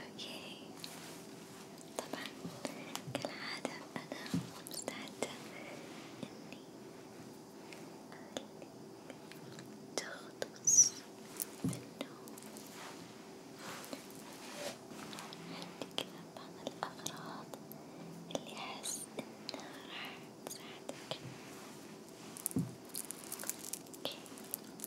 اوكي طبعا كالعادة انا مستعدة اني تغطس بالنوم عندي كذا بعض الاغراض اللي احس انها راح تساعدك اوكي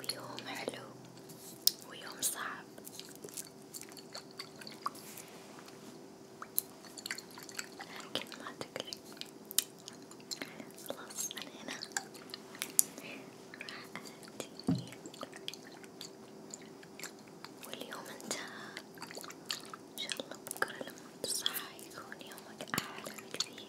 ويوم حلو ويوم صعب لكن ما تقلق خلاص أنا هنا راح أهدي واليوم انتهى إن شاء الله بكرة لما تصحى يكون يومك أحلى بكثير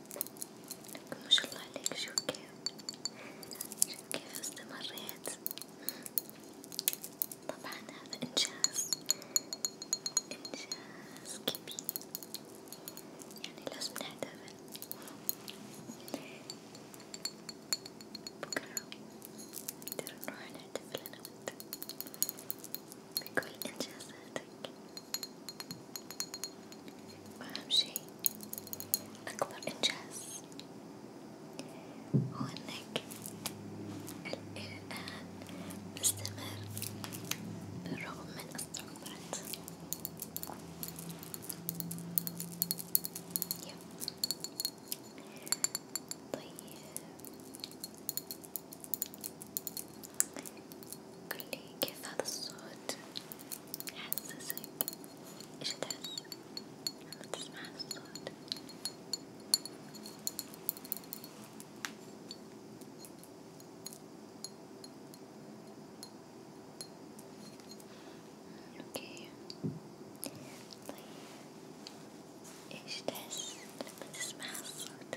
ما شاء الله عليك شوف كيف شوف كيف استمريت طبعا هذا إنجاز إنجاز كبير يعني لازم نحتفل بكرة نقدر نروح نحتفل أنا وأنت بكل إنجازاتك وأهم شي أكبر إنجاز هو إنك إلى الآن مستمر بالرغم من الصعوبات طيب قولي كيف هذا الصوت يحسسك ايش تحس لما تسمع هذا الصوت اوكي طيب ايش تحس لما تسمع هالصوت؟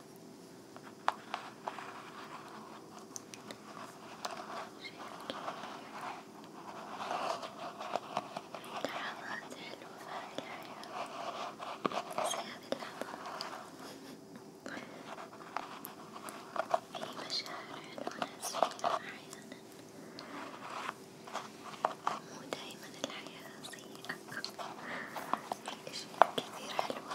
لحظات حلوة في الحياة زي هذي اللحظات في مشاعر حلوة نحس فيها أحيانا مو دايما الحياة سيئة في أشياء كثير حلوة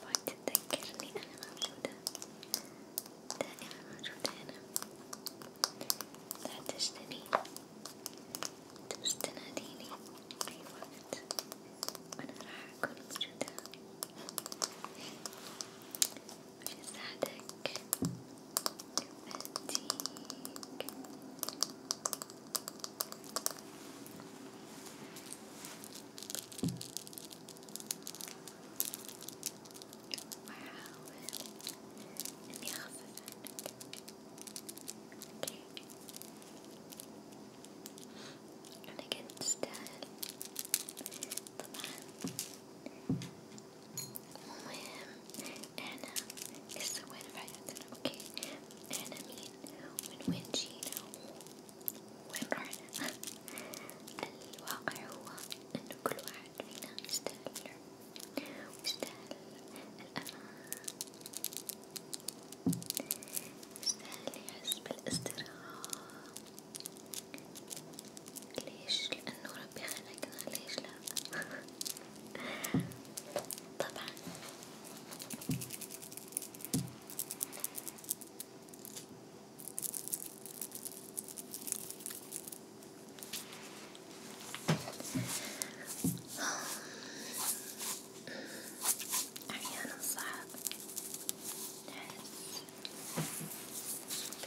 حاول تتذكرني أنا موجودة دائما موجودة هنا لا تجدني تستناديني أي وقت وأنا راح أكون موجودة مش أساعدك أهديك Uh, in the alphabet. Okay. And again, instead, the man, Anna is the win right. Okay. Anna mean when وين رحنا؟ الواقع هو إنه كل واحد فينا يستاهل الحب ويستاهل الأمان يستاهل يحس بالاسترخاء ليش؟ لأنه ربي خلقنا ليش لا؟ طبعا أحيانا صعب نحس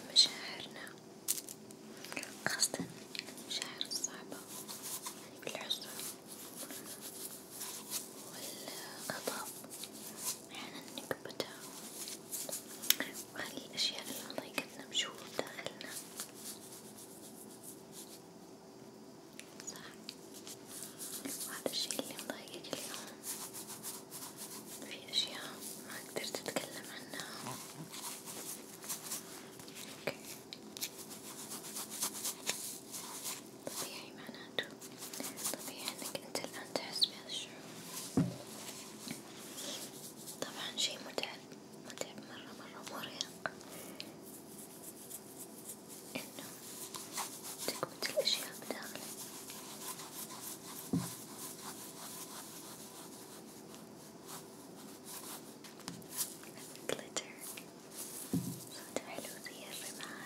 بمشاعرنا خاصة المشاعر الصعبة يعني الحزن والغضب أحيانا نكبتها وخلي الأشياء اللي مضايقتنا بشوف داخلنا صح وهذا الشي اللي مضايقك اليوم في أشياء ما قدرت تتكلم عنها أوكي. طبيعي معناته طبيعي انك انت الان تحس بهذا الشعور طبعا شي متعب متعب مرة مرة مرهق انه تكبت الاشياء بداخلك glitter صوت حلو زي الرمال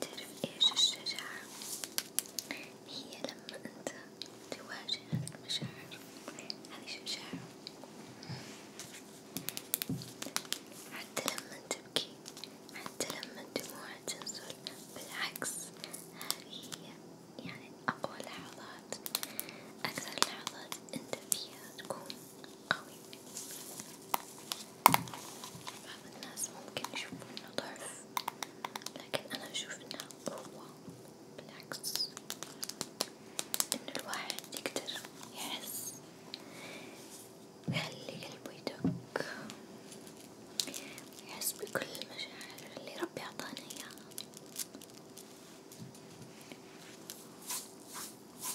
تعرف إيش الشجاعة؟ هي لما أنت تواجه المشاعر هذه شجاعة حتى لما تبكي حتى لما الدموع تنزل بالعكس هذه هي يعني أقوى لحظات أكثر لحظات أنت فيها تكون قوي بعض الناس ممكن يشوفوا إنه ضعف، لكن أنا أشوف إنه قوة، بالعكس، إنه الواحد يقدر يحس ويخلي قلبه يدق، ويحس بكل المشاعر اللي ربي أعطانا إياها.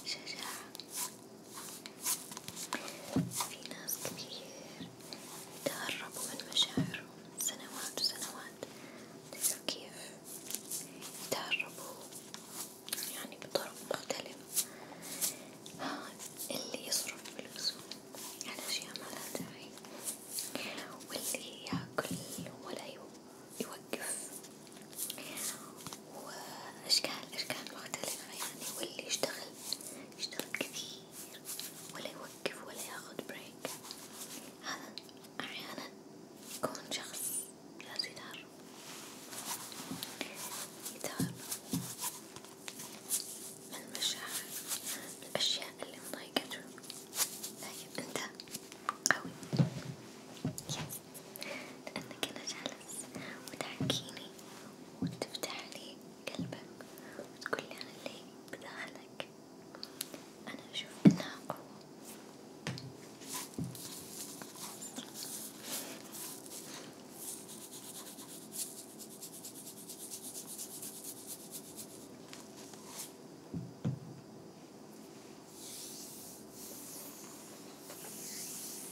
شجاعة في ناس كتير تهربوا من مشاعرهم سنوات وسنوات تعرفوا كيف يتهربوا يعني بطرق مختلف اللي يصرف فلوسه على أشياء ما لها داعي واللي ياكل ولا يوقف وأشكال أشكال مختلفة يعني واللي يشتغل يشتغل كثير ولا يوقف ولا ياخد بريك هذا أحيانا يكون شخص لازم يدار يدار من المشاعر الأشياء اللي مضايقته لكن طيب، أنت قوي لأنك هنا جالس وتحكيني وتفتحلي قلبك وتقولي أنا اللي بداخلك أنا أشوف إنها قوة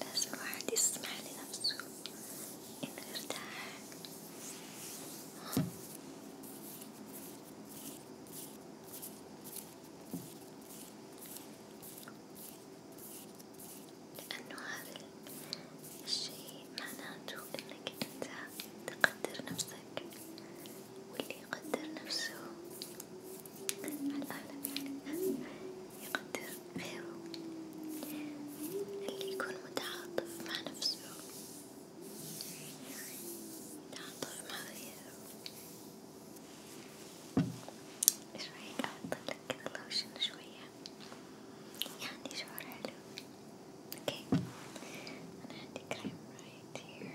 لازم الواحد يسمع لنفسه إنه يرتاح لأنه هذا الشيء معناته إنك أنت تقدر نفسك نفسك واللي يقدر نفسه العالم يعني يقدر غيره اللي يكون متعاطف مع نفسه متعاطف مع غيره ايش رايك احطلك كذا لوشن شوية يعني شعور حلو اوكي okay. انا عندي كريم right here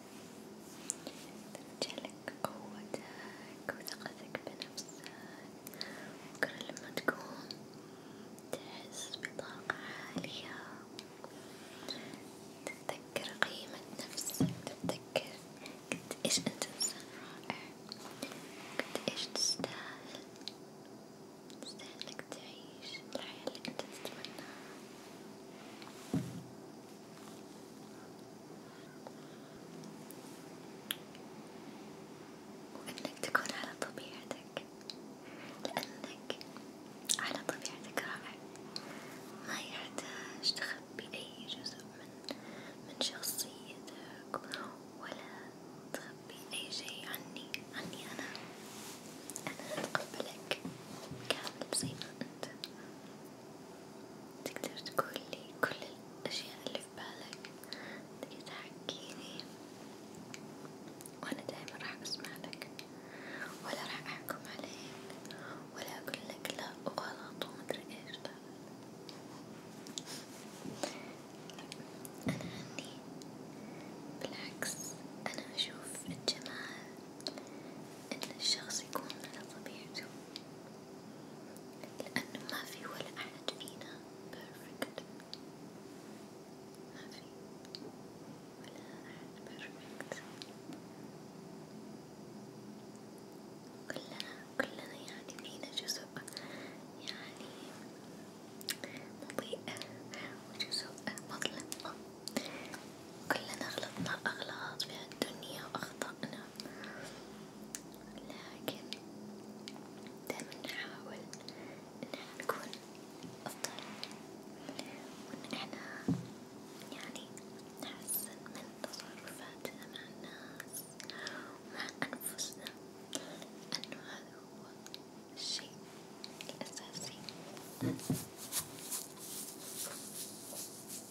ترجعلك قوتك وثقتك بنفسك بكرة لما تقوم تحس بطاقة عالية تتذكر قيمة نفسك تتذكر قد إيش أنت إنسان رائع قد إيش تستاهل تستاهل إنك تعيش الحياة اللي أنت تتمناها. وإنك تكون على طبيعتك لأنك على طبيعتك رائع ما يحتاج تخبي أي جزء من من شخصيتك ولا تخبي أي شيء عني عني أنا أنا أتقبلك كامل زي ما أنت تقدر تقولي كل الأشياء اللي في بالك تقدر تحكيني وأنا دايما راح أسمع لك ولا راح أحكم عليك ولا أقول لك لا وغلط ومدري إيش لا طيب. أنا عني بالعكس أنا أشوف الجمال إن الشخص يكون على طبيعته لأنه ما في ولا أحد فينا بيرفكت ما في ولا أحد بيرفكت كلنا كلنا يعني فينا جزء يعني مضيء وجزء مظلم كلنا غلطنا أغلاط في هالدنيا وأخطأنا لكن دايما نحاول إن احنا نكون أفضل وإن احنا يعني نحسن من تصرفاتنا مع الناس ومع أنفسنا لأنه هذا هو الشيء الأساسي ما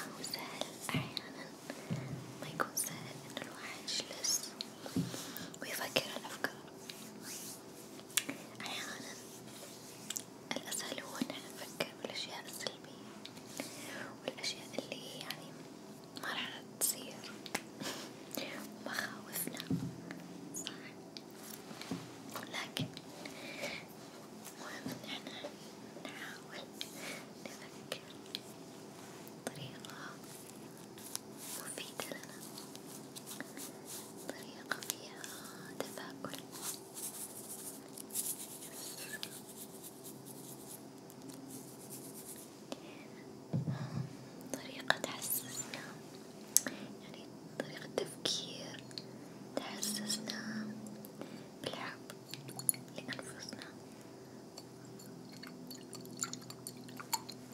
هو سهل أحيانا ما يكون سهل إن الواحد يجلس ويفكر الأفكار أحيانا الأسهل هو إن احنا نفكر بالأشياء السلبية والأشياء اللي يعني ما راح تصير ومخاوفنا صح لكن مهم إن احنا نحاول نفكر بطريقة مفيدة لنا طريقة فيها تفاؤل طريقة تحسسنا يعني طريقة تفكير تحسسنا بالحب لأنفسنا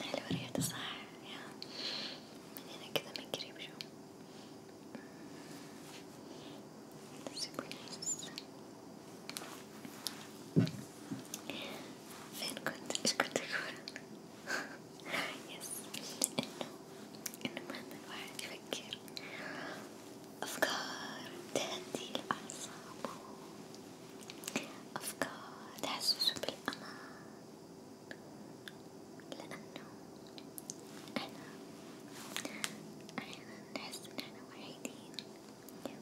حلوة ريحته صح يا من هنا كذا من قريب شو سوبر نايس فين كنت؟ ايش كنت أقول؟ يس إنه إنه مهما الواحد يفكر أفكار تهدي الأعصاب أفكار تحسسوا بالأمان لأنه إحنا أحيانا نحس إن إحنا وحيدين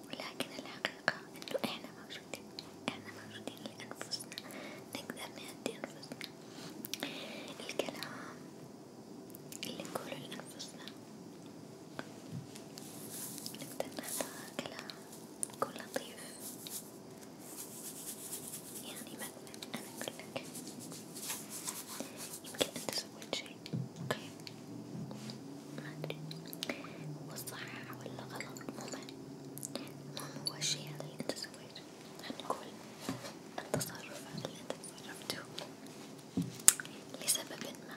ولكن الحقيقة إنه إحنا موجودين إحنا موجودين لأنفسنا نقدر نهدي أنفسنا الكلام اللي نقوله لأنفسنا نقدر نختار كلام كن لطيف يعني مثلا أنا أقول لك يمكن أنت سويت شي أوكي ما أدري هو صح ولا غلط مو مهم هو الشي هذا اللي أنت سويته خلينا نقول التصرف هذا اللي أنت تصرفته لسبب ما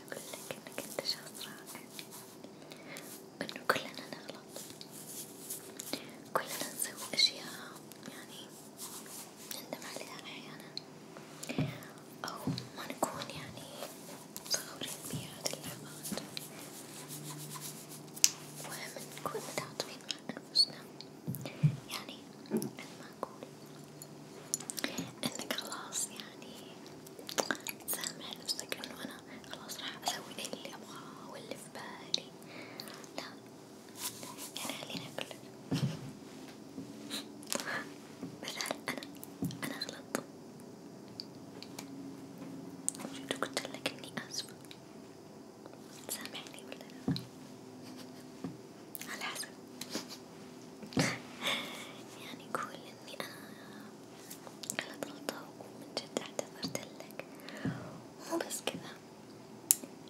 أقول لك إنك أنت شخص رائع، إنه كلنا نغلط، كلنا نسوي أشياء يعني نندم عليها أحيانا، أو ما نكون يعني فخورين بهذه اللحظات، ومهم نكون متعاطفين مع أنفسنا، يعني على ما أقول انك خلاص يعني سامح نفسك انه انا خلاص راح اسوي اللي ابغاه واللي في بالي لا يعني خليني اقولك مثلا انا انا غلطت شفت قلتلك اني اسفة سامحني ولا لا على حسب يعني كل إني أنا أنا غلطانة ومن جد اعتذرت لك، مو بس كذا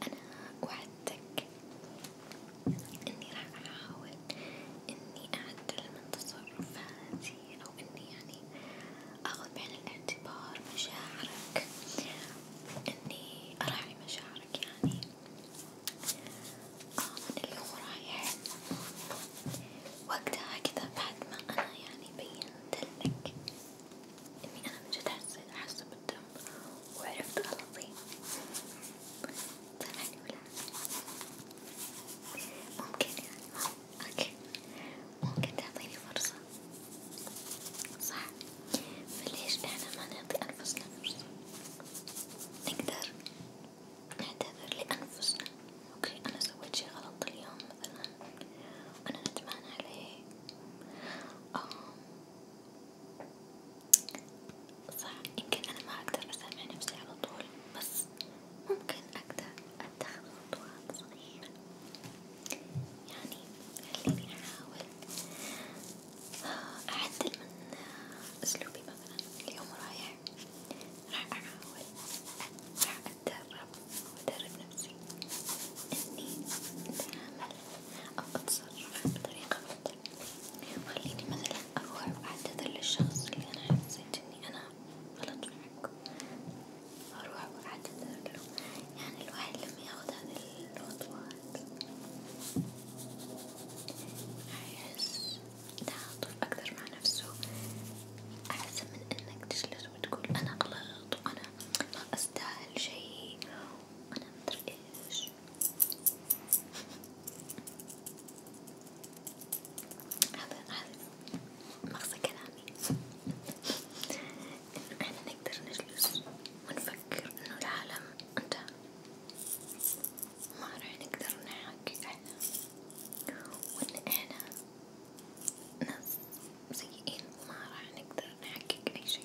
أنا وعدتك إني راح أحاول إني أعدل من تصرفاتي أو إني يعني أخذ بعين الاعتبار مشاعرك، إني أراعي مشاعرك يعني من اليوم رايح وقتها كذا بعد ما أنا يعني بينتلك إني أنا من جد حسيت حاسة بالدم وعرفت غلطي سامعني ولا ممكن يعني أوكي ممكن تعطيني فرصة صح فليش إحنا ما نعطي أنفسنا فرصة نقدر نعتذر لأنفسنا، أوكي أنا سويت شي غلط اليوم مثلا وأنا ندمان عليه، صح يمكن أنا ما أقدر أسامح نفسي على طول بس ممكن أقدر أتخذ خطوات صغيرة، يعني خليني أحاول آه، أعدل من أسلوبي مثلا اليوم رايح راح أحاول راح أتدرب وأدرب نفسي إني أتعامل أو أتصرف بطريقة أفضل، وخليني مثلا أروح وأعتذر للشخص اللي أنا حسيت إني أنا غلط معك، أروح وأعتذر له، يعني الواحد لما ياخد هذه الخطوات راح يحس تعاطف أكثر مع نفسه أحسن من إنك تجلس وتقول أنا غلط وأنا ما أستاهل شيء وأنا مدري إيش هذا هذا مغزى كلامي إنه إحنا نقدر نجلس ونفكر إنه العالم انتهى ما راح نقدر نحقق أحلام وإن إحنا ناس سيئين ما راح نقدر نحقق أي شي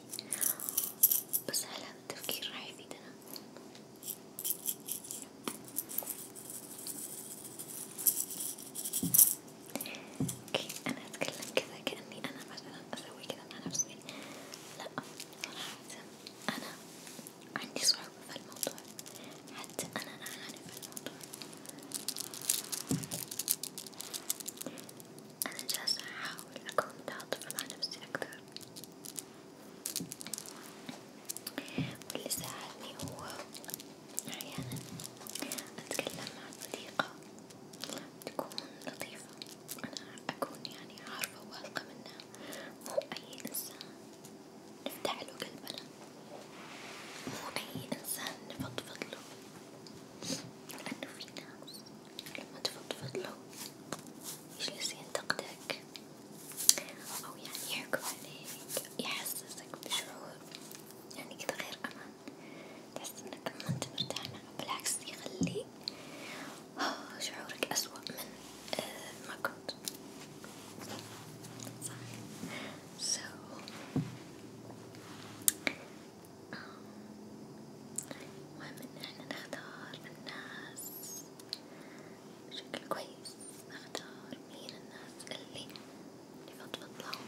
بس هل هذا التفكير راح يفيدنا؟ اوكي انا اتكلم كذا كأني انا مثلا اسوي كذا مع نفسي لا صراحة انا عندي صعوبة في الموضوع حتى أنا أعاني في الموضوع أنا جالسة أحاول أكون متعاطفة مع نفسي أكثر واللي ساعدني هو أحيانا أتكلم مع صديقة تكون لطيفة أنا أكون يعني عارفة وواثقة منها مو أي إنسان نفتح له قلبنا مو أي إنسان نفضفض له لأنه في ناس لما تفضفض له يجلس ينتقدك أو يعني يحكم عليك يحسسك بشعور يعني كذا غير أمان تحس إنك ما أنت مرتاح بالعكس يخليك شعورك أسوأ من آه، ما كنت صح so آه، المهم إن احنا نختار الناس بشكل كويس نختار مين الناس اللي نفضفض لهم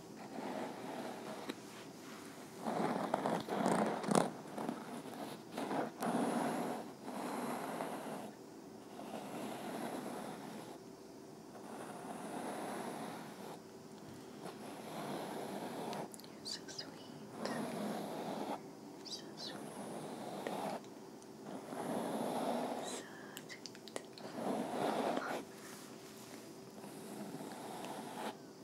You're so sweet. So sweet. So sweet.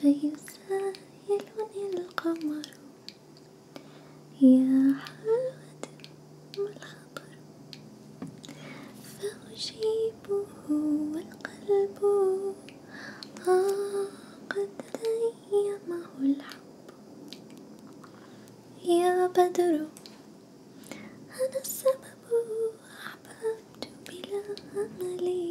فيسائلني القمر يا حلوة ما الخطر فأجيبه والقلب آه قد تيمه الحب يا بدر أنا السبب أحببت بلا أمل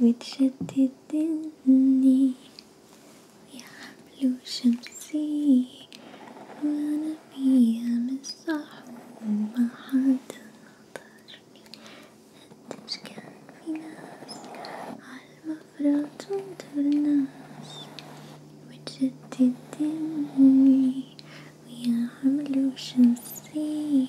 وتشتت ذهني يا حبل شمسي وأنا فيها مسرح وما حدا نظرني قديش كان في ناس عالمفرق تنطر ناس وتشتت ذهني ويا حبل شمسي